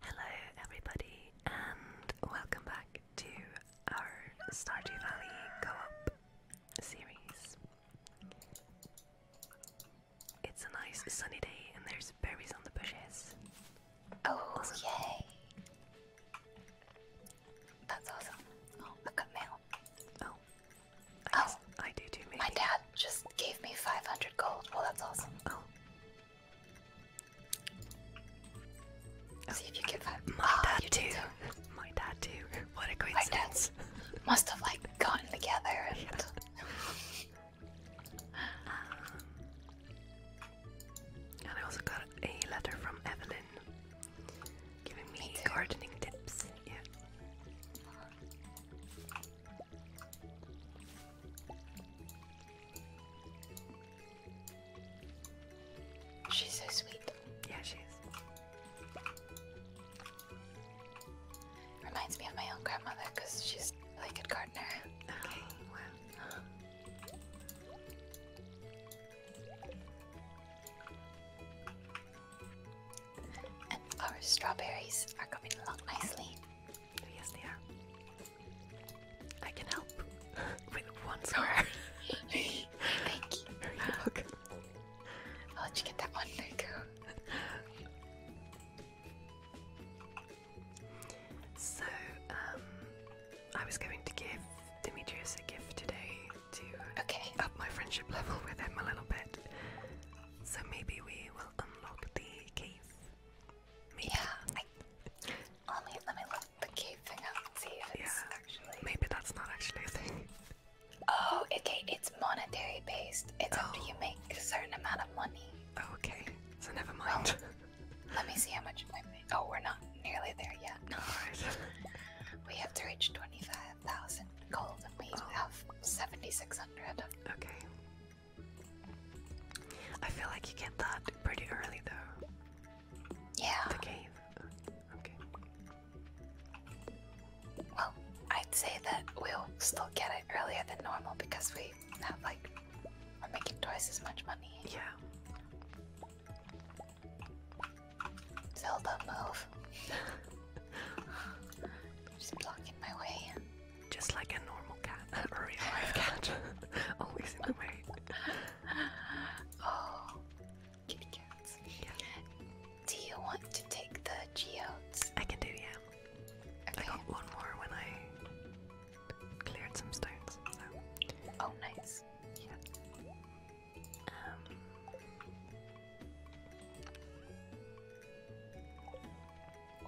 Hello, everybody, and welcome back to our Stardew Valley Co op series. It's a nice sunny day, and there's berries on the bushes. Oh, yay! That's awesome. Oh, I've mail. Oh, oh. I do too, maybe. My dad just gave me 500 gold. Well, that's awesome. Oh. See if you give up. My ah, dad too. My dad too. What a great sense. Must have like gotten together and I also got a letter from Evelyn giving me, me gardening tips. Yeah. She's so sweet. Yeah, she is. Reminds me of my own grandmother because she's really good gardener. Okay. wow. And our strawberries are coming along nicely. Yes, they are. I can help with one square. Thank you. You're welcome. you get that one. There So, um, I was going to give Demetrius a gift today to uh, okay. up my friendship level with him a little bit. So maybe we will unlock the cave yeah. let, me, let me look the cave thing up and see if it's actually. Maybe that's not actually a thing. Oh, okay. It's monetary based. It's oh. after you make a certain amount of money. Oh, okay. So never oh, mind. let me see how much I made. Oh, we're not nearly there yet. No, we have to reach 25,000 gold and we oh. have 7,600. Okay. I feel like you get that pretty early though. Yeah. The cave. Okay. Well, I'd say that we'll still get it earlier than normal because we have like we're making twice as much money. Yeah. Zelda move. Just blocking my way just like a normal cat a real life cat, always in the way. Oh, kitty cats. Do you want to take the geodes? I can do, yeah. I got one more when I cleared some stones. Oh, nice. Yeah. Um,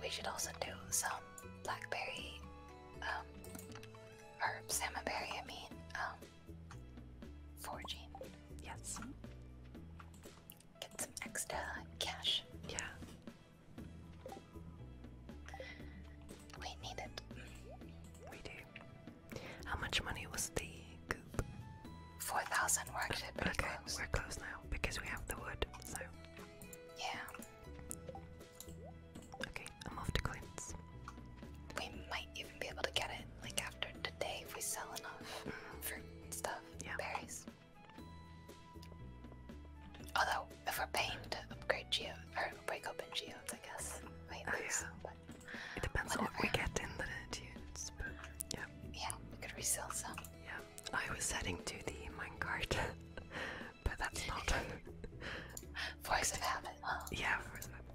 we should also do some blackberry, herbs, um, or salmonberry, I mean, um, foraging. Yes. Get some extra cash. Yeah. We need it. We do. How much money was the coop? 4,000 workshop. Okay, close. we're close now because we have the wood, so yeah. Okay, I'm off to Clint's. We might even be able to get it like after today if we sell enough mm-hmm. fruit and stuff, yeah. berries. Although, if we're paying to upgrade Geo or break open geos, I guess. Oh, yeah. it depends on what we get in the yeah. Yeah, we could resell some. Yeah. I was heading to the minecart, but that's not. Voice of habit, huh? Yeah, force of habit.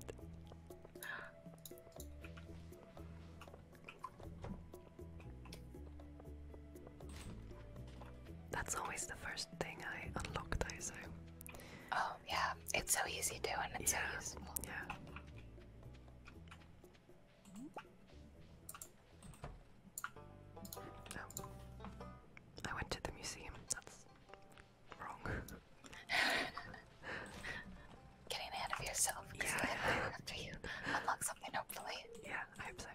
That's always the first thing I unlock, though, Oh, yeah, it's so easy to, and it's yeah, so useful. Yeah. No. I went to the museum. That's wrong. Getting ahead of yourself. yeah. After you unlock something, hopefully. Yeah, I hope so.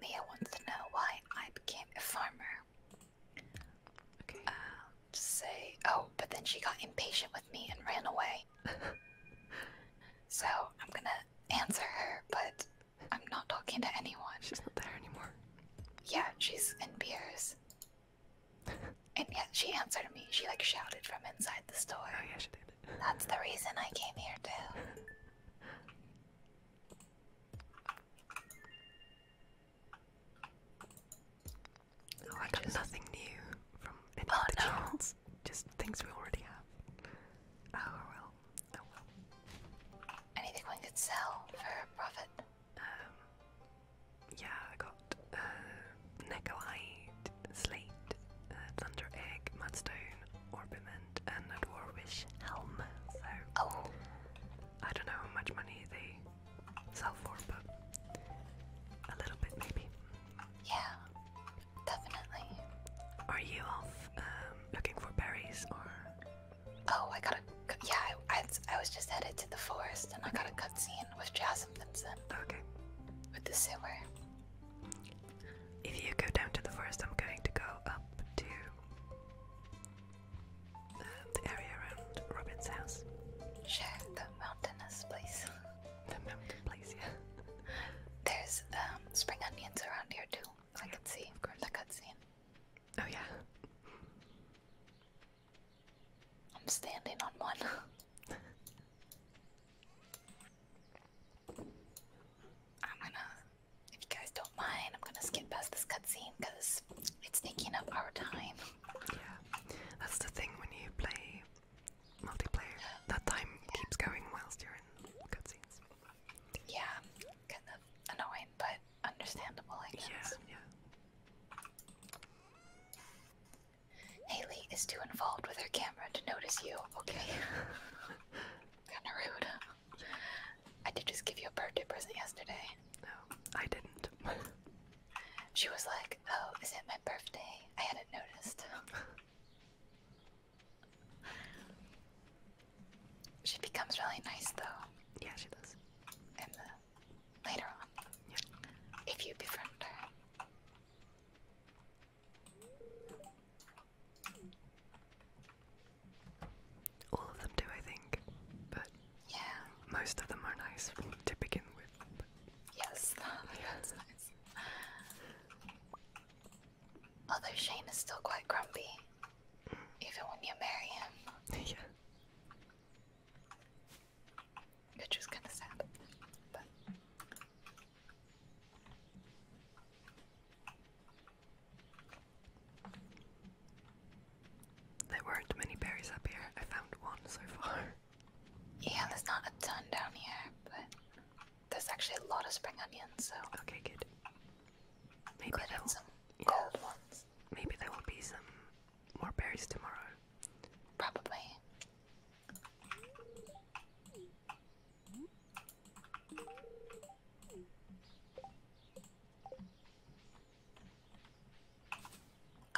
Mia wants to know why I became a farmer. Okay. Uh, to say, oh, but then she got impatient with me and ran away. so I'm gonna answer her, but I'm not talking to anyone. She's not there anymore. Yeah, she's in beers. And yet she answered me. She like shouted from inside the store. Oh yeah, she did. That's the reason I came here too. Oh, I got nothing new from any oh, of the channels. Just things we already have. Oh well. Oh well. Anything one could sell for profit. Um, yeah, I got uh, Neckohide, Slate, uh, Thunder Egg, Mudstone, Orbiment, and a Dwarvish Helm. So, oh. I don't know how much money they sell for, but a little bit maybe. Yeah, definitely. Are you off um, looking for berries or? Oh, I got a yeah. I, I was just headed to the forest, and I got a cutscene with Jasmine Vincent. Okay with the sewer. If you go down to the forest, I'm going to go up to uh, the area around Robin's house. Sure, the mountainous place. the mountain place, yeah. There's um, spring onions around here too. I yeah, can see, of course. The cutscene. Oh yeah. I'm standing on one. I'm gonna, if you guys don't mind, I'm gonna skip past this cutscene because it's taking up our time. Yeah, that's the thing when you play multiplayer, that time keeps going whilst you're in cutscenes. Yeah, kind of annoying, but understandable, I guess. yeah. Haley is too involved with her camera to notice you, okay? Kinda rude. I did just give you a birthday present yesterday. No, I didn't. she was like, Oh, is it my birthday? I hadn't noticed. she becomes really nice though. Yeah, she does. And uh, later on. If you befriend her. All of them do, I think, but yeah, most of them are nice to begin with. But. Yes, nice. Although Shane is still quite grumpy, even when you marry him. yeah. It just kind of sad. there weren't many berries up here. I found one so far. Yeah, there's not a ton down here, but there's actually a lot of spring onions. So okay, good. Maybe there some yeah. gold ones. Maybe there will be some more berries tomorrow. Probably.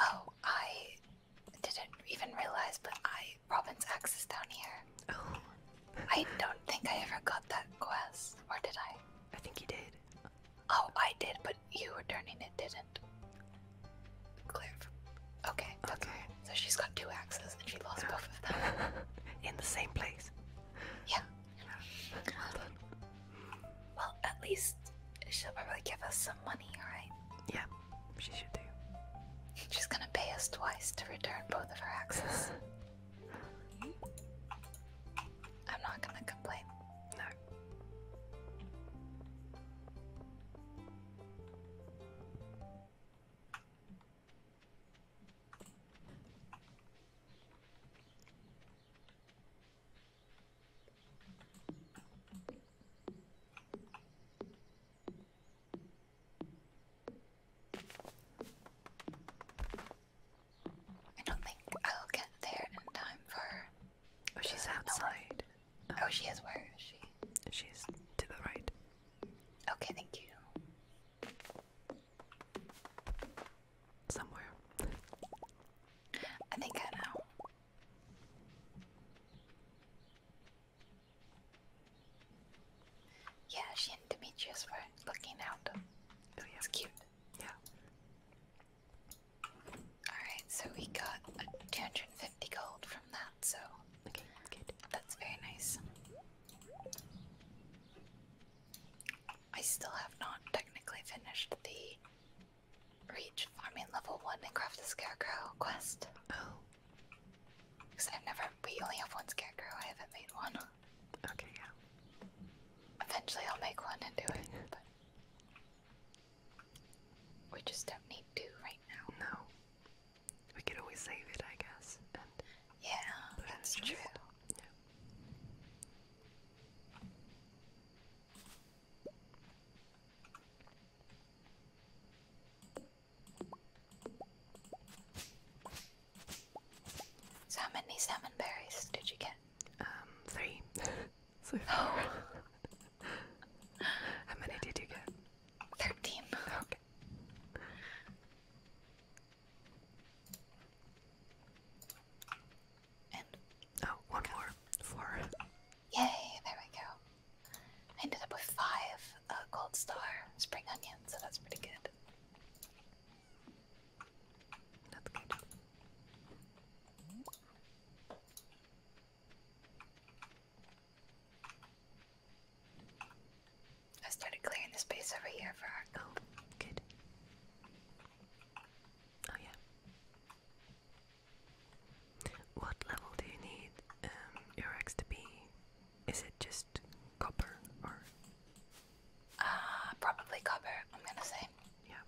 Oh, I didn't even realize, but I Robin's axe down here. Oh. I don't think I ever got that quest, or did I? I think you did. Oh, I did, but you were turning it didn't. Clear. Okay, okay. So she's got two axes and she lost both of them. In the same place. Yeah. Well, well, at least she'll probably give us some money, right? Yeah, she should do. She's gonna pay us twice to return both of her axes. I'm not gonna complain. No back. I don't think I'll get there in time for Oh, she's outside. oh, she is. Where is she? She's to the right. Okay, thank you. Somewhere. I think I know. Yeah, she and Demetrius were looking out. Oh, yeah. It's cute. Yeah. Alright, so we got 250 gold from that, so okay, good. that's very nice. I still have not technically finished the Reach Farming Level 1 and Craft the Scarecrow quest. Oh. Because I've never, we only have one Scarecrow, I haven't made one. Okay, yeah. Eventually I'll make one and do it, we just don't need to right now. No. We could always save it, I guess. yeah, that's true. So how many salmon did you get? Um, three. so far. Oh. How many did you get? Thirteen. Okay. And oh, one more. Four. Yay! There we go. I ended up with five uh, gold star spring onions, so that's pretty good. That's good. I started clearing the space over here for our goat. Oh, good. Oh yeah. What level do you need um, your axe to be? Is it just copper or? Uh, probably copper. I'm gonna say. Yeah.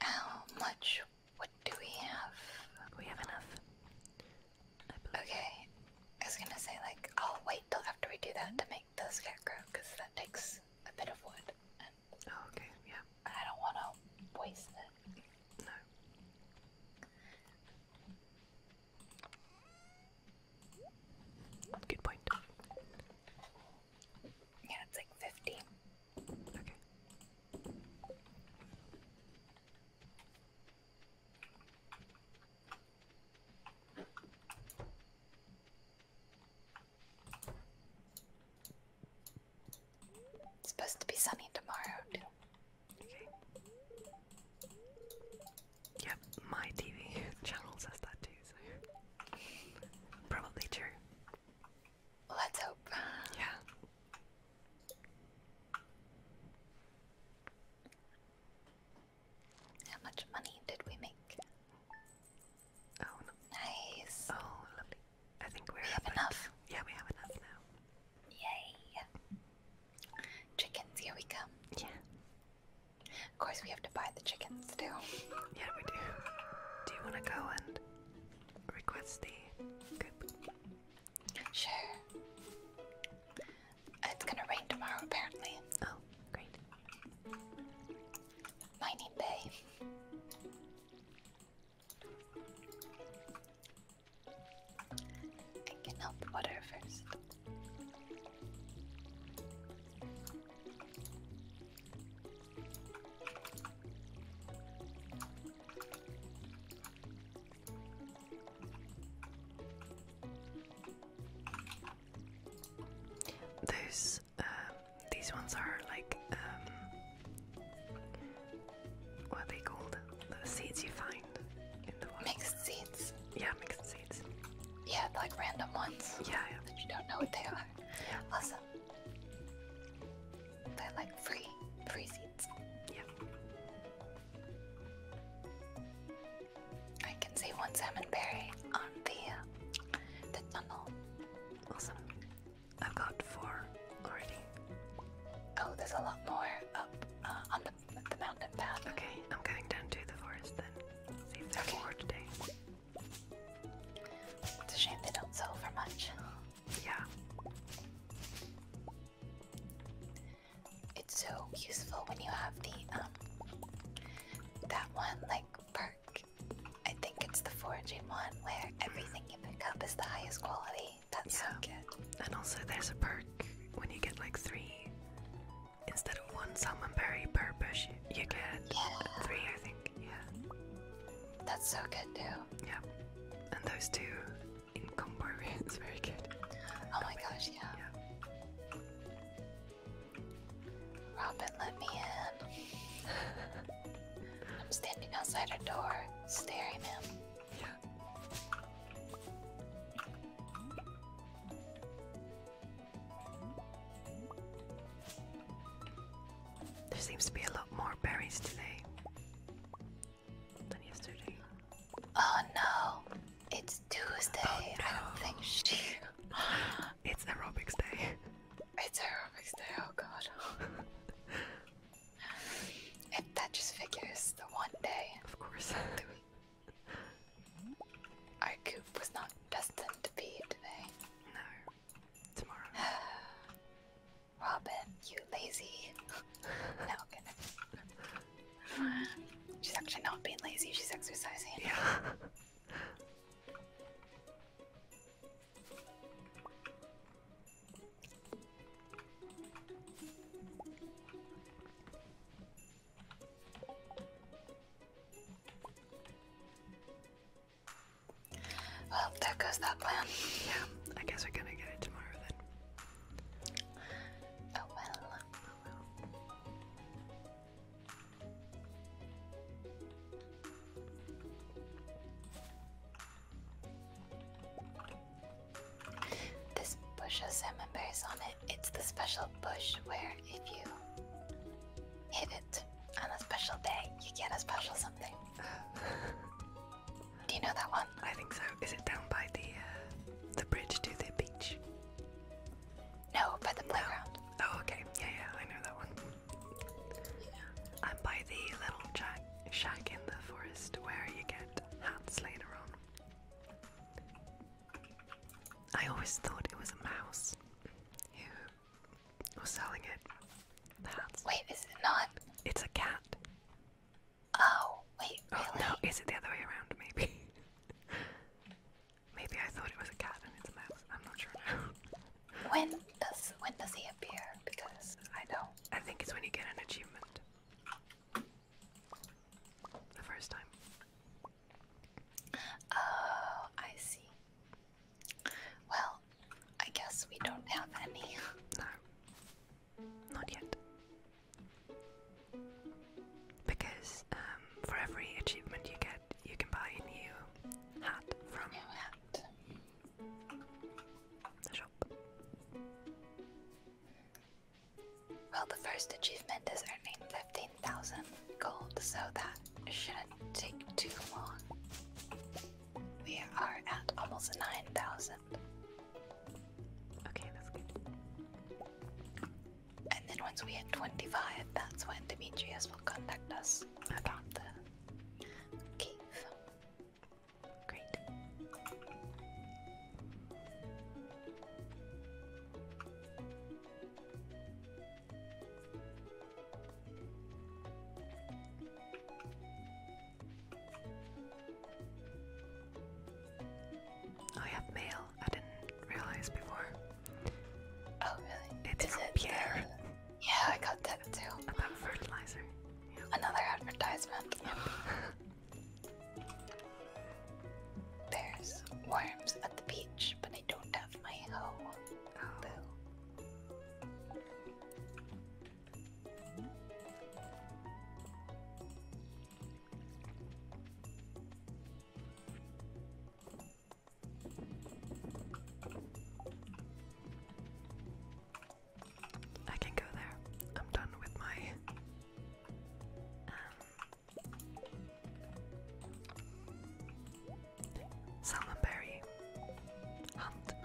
How much? What do we have? We have enough. Okay, I was gonna say like I'll wait till after we do that to make the scarecrow because that takes a bit of wood. oh, okay, yeah. I don't want to waste it. No. Good point. Yeah, it's like 50. Okay. supposed to be sunny tomorrow, too. Okay. Yep, my TV channel says that too, so probably true. Let's hope. Yeah. How much money did we make? Oh, no. nice. Oh, lovely. I think we're we have enough. Yeah, we have enough now. Yay! Chickens, here we come. Yeah. Of course, we have to buy the chickens too. Yeah, we do. Do you want to go and request the coop? Sure. It's gonna rain tomorrow, apparently. Oh, great. Mining Bay. I can help water first. Those um, these ones are like um, what they called? The seeds you find in the water. Yeah, mixed seeds. Yeah, like random ones. Yeah, That you don't know what they are. Yeah. Awesome. They're like free, free seeds. Yeah. I can see one salmon berry on the uh, the tunnel. Awesome. I've got four already. Oh, there's a lot more up uh, on the mountain path. Okay, I'm going down to the forest then. It's a shame they don't sell for much. Yeah. It's so useful when you have the um that one like perk. I think it's the foraging one where everything you pick up is the highest quality. That's yeah. so good. And also there's a perk when you get like three Instead of one salmon per bush, you get yeah. three, I think. Yeah. That's so good, too. Yeah. And those two in very good. Oh my gosh, yeah. yeah. Robin, let me in. I'm standing outside her door, staring in. Yeah. There seems to be a lot more berries today than yesterday. Oh no, it's Tuesday. Oh, I don't think she. it's aerobics day. It's aerobics day. Oh god. that just figures the one day. Of course. Our coop was not destined to be today. No. Tomorrow. Robin, you lazy. no, kidding. She's actually not being lazy, she's exercising. Yeah. Well, there goes that plan. Yeah, I guess we're gonna get it tomorrow then. Oh well. This bush has salmon berries on it it's the special bush where if you hit it on a special day, you get a special something. Do you know that one? I think so. Is it down by the uh, the bridge to the beach? No, by the playground. Oh, okay. Yeah, yeah, I know that one. I'm by the little shack, shack in the forest where you get hats later on. I always thought it was a mouse who was selling it. wait, is it not? It's a cat. Oh, wait, oh, no, is it the other way around? Maybe. maybe I thought it was a cat and it's a mouse. I'm not sure when does when does he appear? Because I don't. I think it's when you get an achievement. The first time. Oh, I see. Well, I guess we don't have any. no, not yet. Because um, for every achievement you get, you can buy a new hat from the shop. Well, the first achievement is earning 15,000 gold, so that shouldn't take too long. We are at almost 9,000. Okay, that's good. And then once we hit 25, that's when Demetrius will contact us about the cave. Great. I oh, have mail. I didn't realize before. Oh really? It's Is from Pierre. Yeah, I got that too. About fertilizer. Another advertisement. There's worms at the beach, but I don't have my hoe. I can go there. I'm done with my um, Salmon Hunt.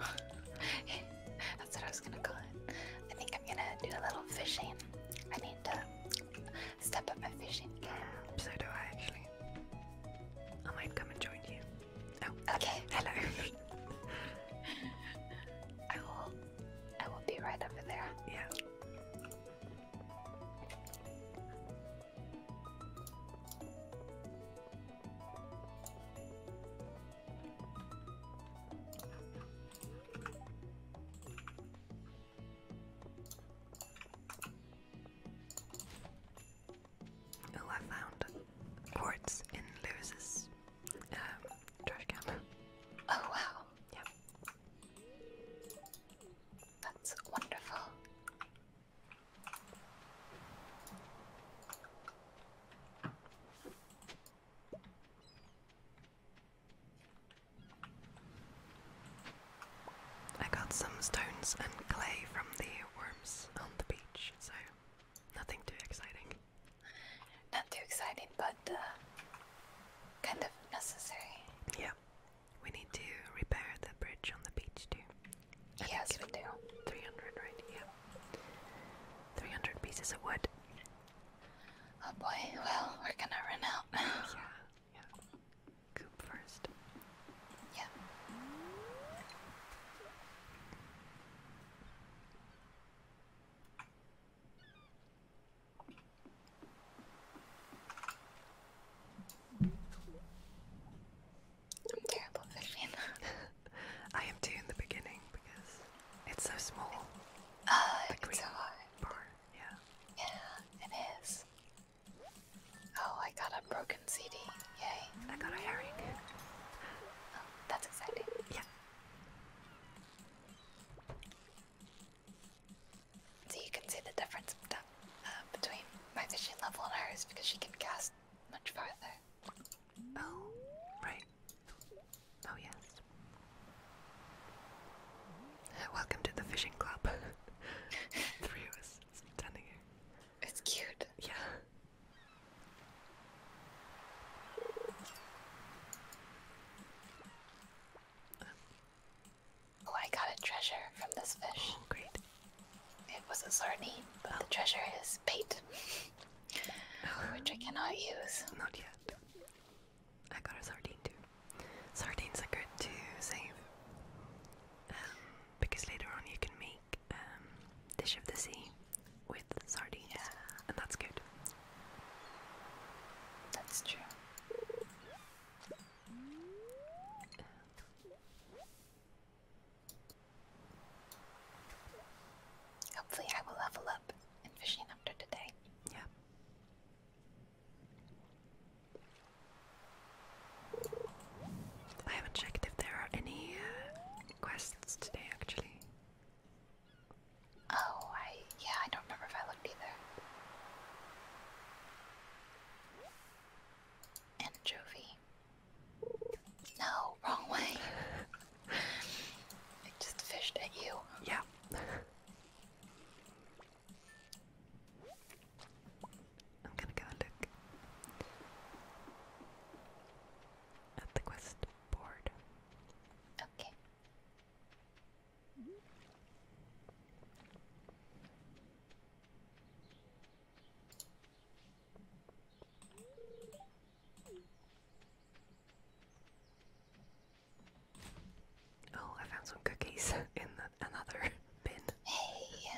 That's what I was gonna call it. I think I'm gonna do a little fishing. I need to step up my fishing game. so do I actually. I might come and join you. Oh, okay. Hello. I will. I will be right over there. Yeah. Oh, I found quartz in Lewis's um, trash can. Oh wow! Yeah. That's wonderful. I got some stones and clay from the worms on the beach, so nothing too exciting. Not too exciting, but but uh, kind of necessary. Yeah, we need to repair the bridge on the beach too. yes, we do. 300, right? Yeah. 300 pieces of wood. Oh boy, well, we're gonna run out. yeah, yeah. Coop first. Yeah. I'm terrible at fishing. I am too in the beginning because it's so small. Oh, the it's so hard. Yeah. Yeah, it is. Oh, I got a broken CD. Yay. I got a herring. Oh, that's exciting. Yeah. So you can see the difference uh, between my vision level and hers because she can cast much farther. Oh, right. Oh, yes. Welcome to the fishing club. Three of us standing here. It's cute. Yeah. Oh, I got a treasure from this fish. Oh, great. It was a sardine, but the oh. treasure is bait, oh. which I cannot use. Not yet. I got a sardine too. Sardines are good to save um, because later on you can make um, dish of the sea with sardines, and that's good. That's true. Hopefully, I will level up in fishing after today. Yeah. I haven't checked if there are any uh, quests today, actually. Oh, I. Yeah, I don't remember if I looked either. Anchovy. No, wrong way. it just fished at you. Yeah. I'm gonna go look at the quest board. Okay. Oh, I found some cookies in another bin. Hey!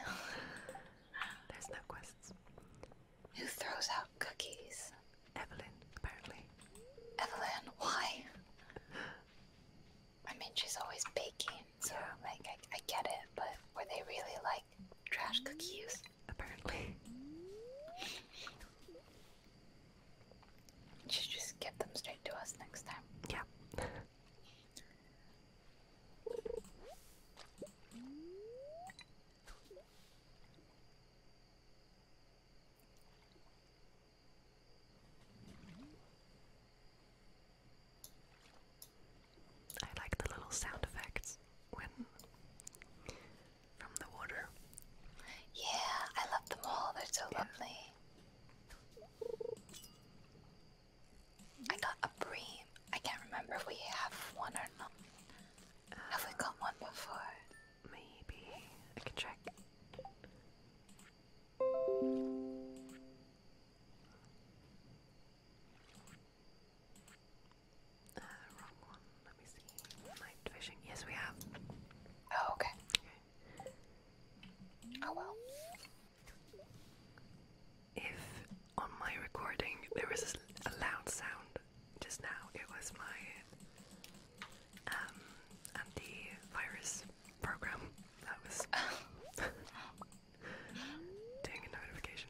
There's no quests. Who throws out cookies? Evelyn, apparently. Evelyn, why? I mean, she's always baking, so yeah. like I, get it. But were they really like trash cookies? Apparently. Should just give them straight to us next time. Yeah. I like the little sound effects when from the water. Yeah, I love them all. They're so lovely. I got a bream. I can't remember we have one or not. have we got one before? Maybe I can check. Uh, wrong one. Let me see. Night fishing. Yes, we have. Oh, okay. Okay. Oh, if on my recording there was a loud sound just now, it was my um, anti-virus program that was oh. doing a notification.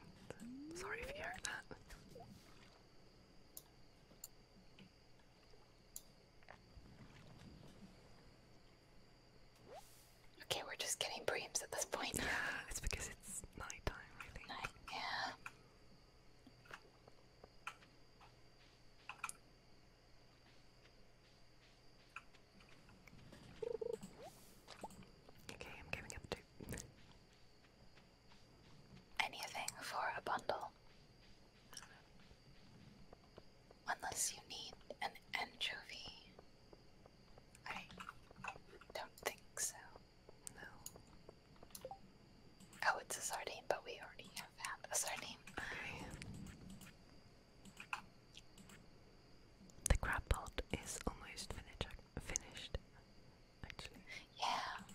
Sorry if you heard that. Okay, we're just getting dreams at this point. Yeah, it's because it's night time, yeah. Okay, I'm giving up two. Anything for a bundle. Unless you need an anchovy. I don't think so. No. Oh, it's a sardine, but we already have found a sardine. The crab pot is almost finished. Finished, actually. Yeah.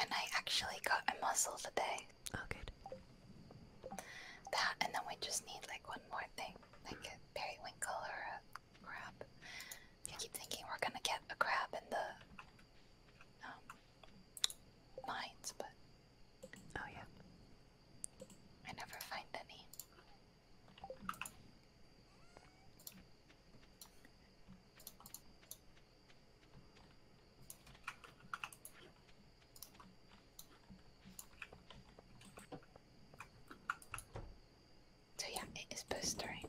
And I actually got a mussel today. Oh, good. That, and then we just need like one more thing, like a periwinkle or a Crab. I keep thinking we're gonna get a crab in the um, mines, but oh yeah, I never find any. So yeah, it is blistering.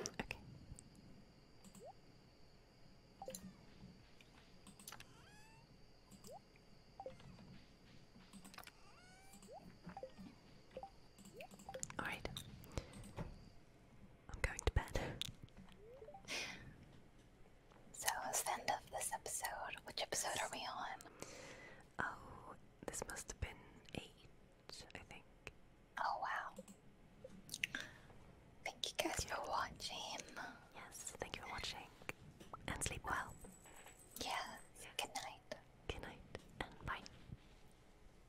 Okay. Alright. I'm going to bed. So it's the end of this episode. Which episode are we on? Oh, this must have been eight, I think. Oh wow. Thank you guys for watching. Yes, thank you for watching. And sleep well. Yes. Good night. Good night and bye.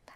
Bye.